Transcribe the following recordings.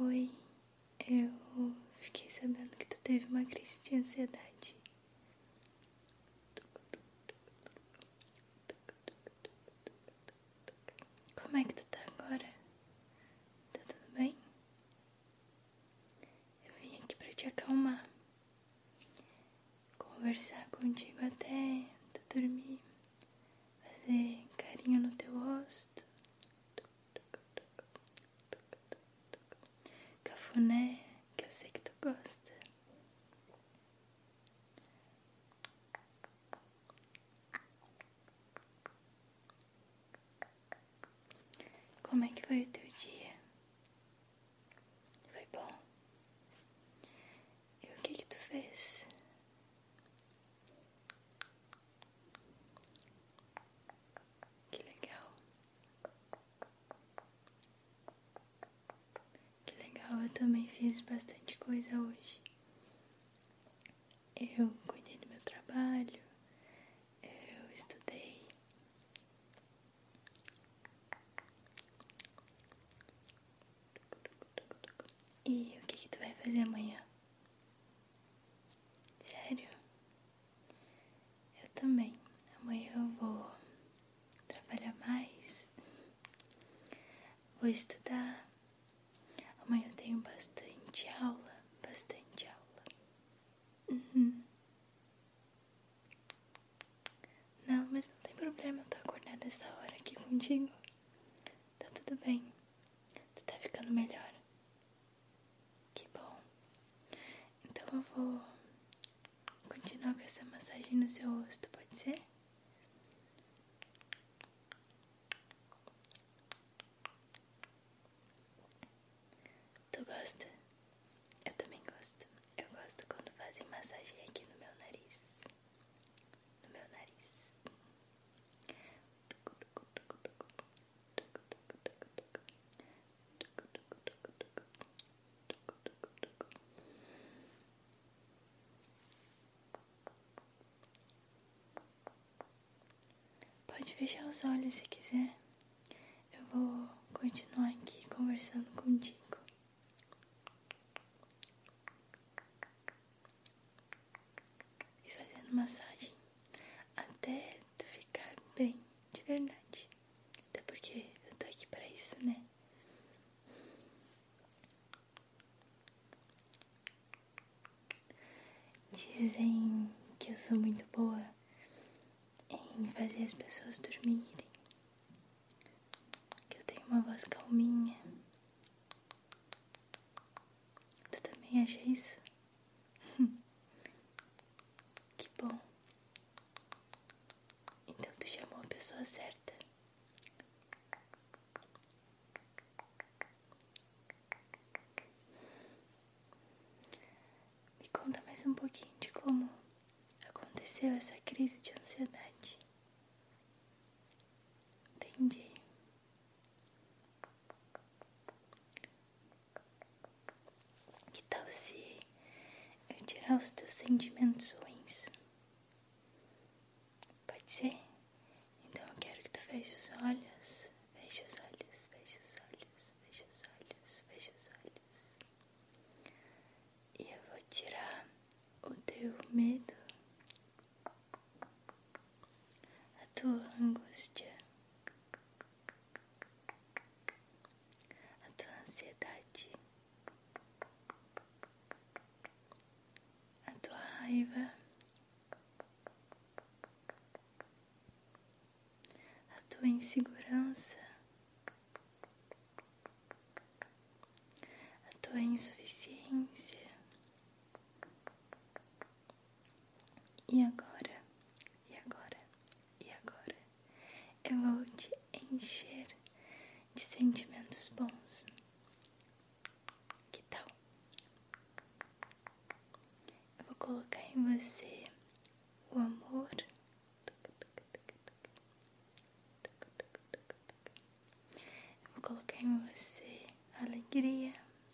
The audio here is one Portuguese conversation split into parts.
Oi, eu fiquei sabendo que tu teve uma crise de ansiedade. Como é que tu tá agora? Tá tudo bem? Eu vim aqui pra te acalmar, conversar contigo até tu dormir, fazer carinho no teu rosto, Cafuné, que eu sei que tu gosta. Como é que foi o teu dia? Foi bom? E o que que tu fez? Que legal. Que legal, eu também fiz bastante coisa hoje. Eu cuidei do meu trabalho, eu estudei. E o que, que tu vai fazer amanhã? Sério? Eu também. Amanhã eu vou trabalhar mais, vou estudar. Amanhã eu tenho bastante aula, bastante aula. Uhum. Não, mas não tem problema eu estar acordada essa hora aqui contigo. Tá tudo bem. Tu tá ficando melhor. Que bom. Então eu vou continuar com essa massagem no seu rosto, pode ser? Tu gosta? Eu também gosto. Eu gosto quando fazem massagem aqui no meu nariz. No meu nariz. Pode fechar os olhos se quiser. Eu vou continuar aqui conversando contigo e fazendo massagem até tu ficar bem de verdade. Até porque eu tô aqui pra isso, né? Dizem que eu sou muito boa em fazer as pessoas dormirem, que eu tenho uma voz calminha, Tu também acha isso? que bom. Então tu chamou é a pessoa certa. Me conta mais um pouquinho de como aconteceu essa crise de ansiedade. Entendi. Que tal se eu tirar os teus sentimentos ruins? Pode ser? Então eu quero que tu veja os olhos, feche os olhos, feche os olhos, feche os olhos, feche os olhos. E eu vou tirar o teu medo, a tua angústia, a tua ansiedade, a tua raiva, a tua insegurança, a tua insuficiência. E agora, e agora, e agora, eu vou te encher de sentimentos bons. Que tal? Eu vou colocar em você o amor, eu vou colocar em você a alegria.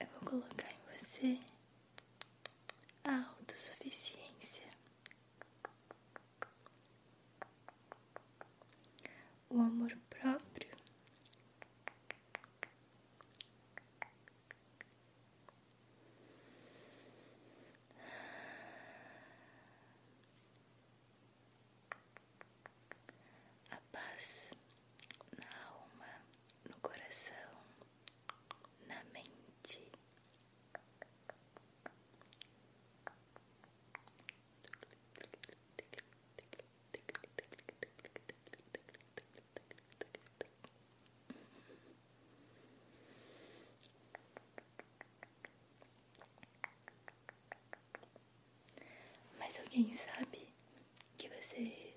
Eu vou colocar em você a autossuficiência, o amor próprio, a paz na alma no coração, na mente. Mas alguém sabe que você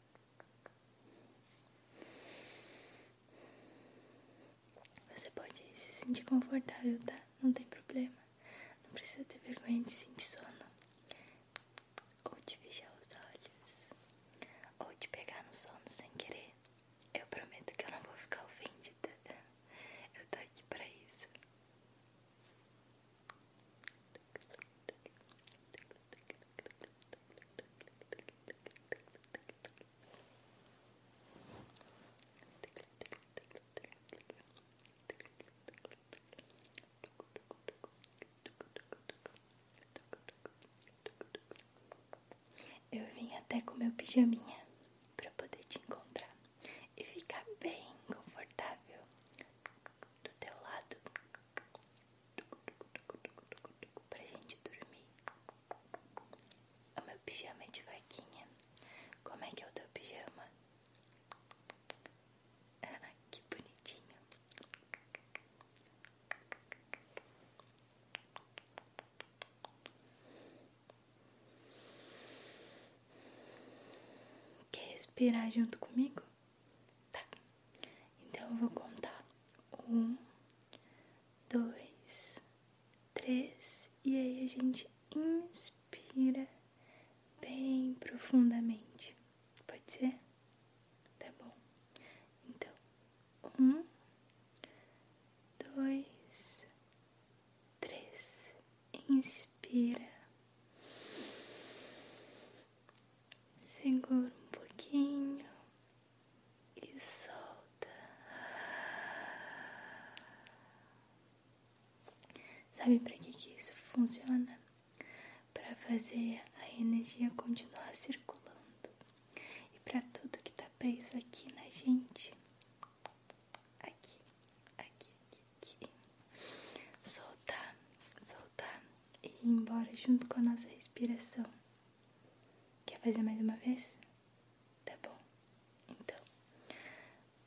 Você pode se sentir confortável, tá? Não tem problema. Não precisa ter vergonha de sentir sono. Ou de fechar os olhos. Ou de pegar no sono sem querer. Eu prometo que eu não vou ficar ofendida. Eu tô aqui pra isso. Eu vim até com meu pijaminha para poder te encontrar e ficar bem confortável do teu lado para gente dormir. O meu pijama é de vaquinha. Como é que é o teu pijama? Ah, que bonitinho. Quer respirar junto comigo? Tá, então eu vou contar um, dois, três, e aí a gente inspira bem profundamente. Pode ser? Tá bom. Então, um, dois, três, inspira. Segura um pouquinho e solta. Sabe para que, isso funciona? Para fazer a energia continuar circulando e para tudo que está preso aqui na gente. Aqui, aqui, aqui, aqui. Soltar, soltar e ir embora junto com a nossa respiração. Quer fazer mais uma vez? Tá bom. Então,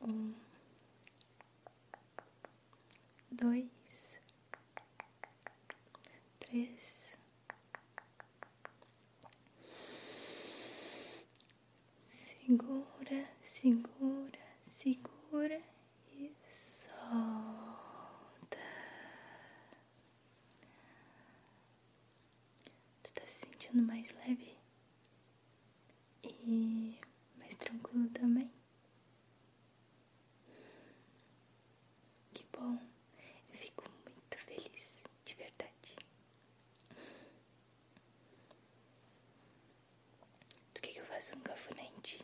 um, dois, três, segura, segura, segura e solta. Tu tá se sentindo mais leve e mais tranquilo também? Que bom, eu fico muito feliz, de verdade. Do que, que eu faço um cafunete?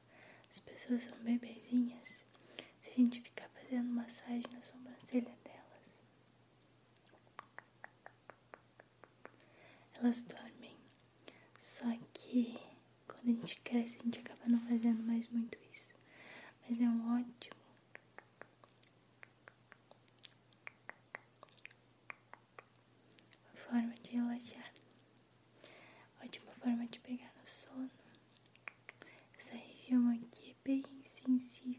As pessoas são bebezinhas. Se a gente ficar fazendo massagem na sobrancelha delas, elas dormem. Só que quando a gente cresce, a gente acaba não fazendo mais muito isso. Mas é um ótimo. forma de relaxar. Ótima forma de pegar no sono. Essa região aqui é bem sensível.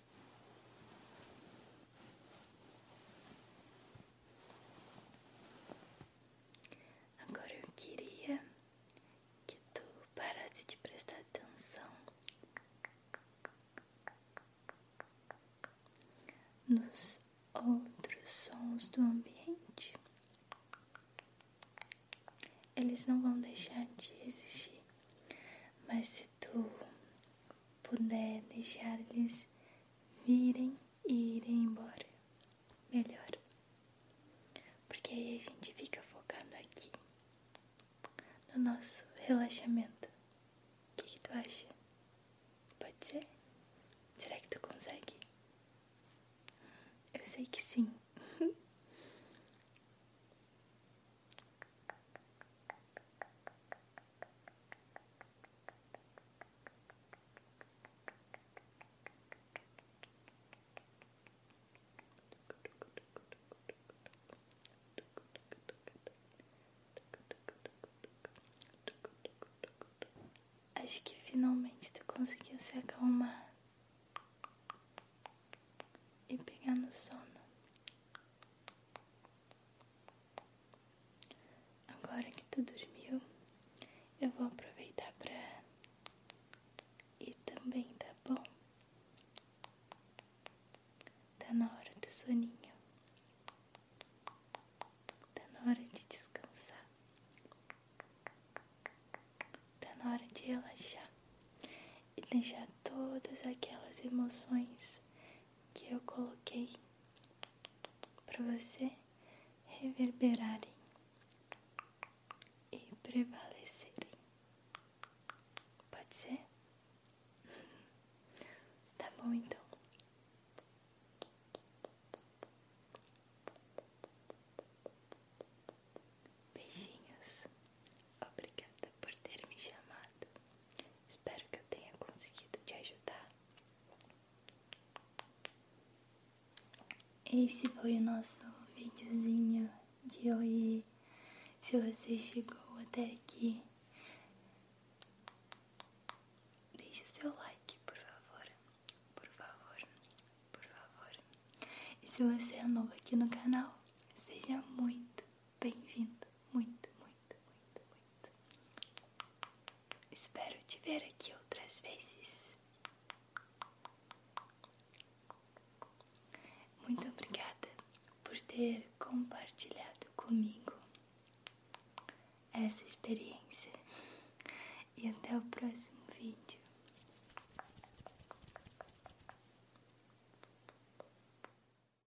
Agora eu queria que tu parasse de prestar atenção nos outros sons do ambiente. Eles não vão deixar de existir, mas se tu puder deixar eles virem e irem embora, melhor. Porque aí a gente fica focado aqui, no nosso relaxamento. O que, tu acha? Pode ser? Será que tu consegue? Eu sei que sim. Acho que finalmente tu conseguiu se acalmar e pegar no sono. Agora que tu dormiu, eu vou aproveitar pra ir também, tá bom? Tá na hora do soninho, tá na hora de descansar, tá na hora de relaxar e deixar todas aquelas emoções que eu coloquei para você reverberarem e prevalecerem. Pode ser? tá bom então. Beijinhos. Obrigada por ter me chamado. Espero que eu tenha conseguido te ajudar. Esse foi o nosso videozinho de hoje. Se você chegou até aqui, deixe o seu like, por favor. Por favor, por favor. E se você é novo aqui no canal, seja muito, bem-vindo, muito, muito, muito, muito. Espero te ver aqui outras vezes. Muito obrigada por ter compartilhado comigo essa experiência. E até o próximo vídeo.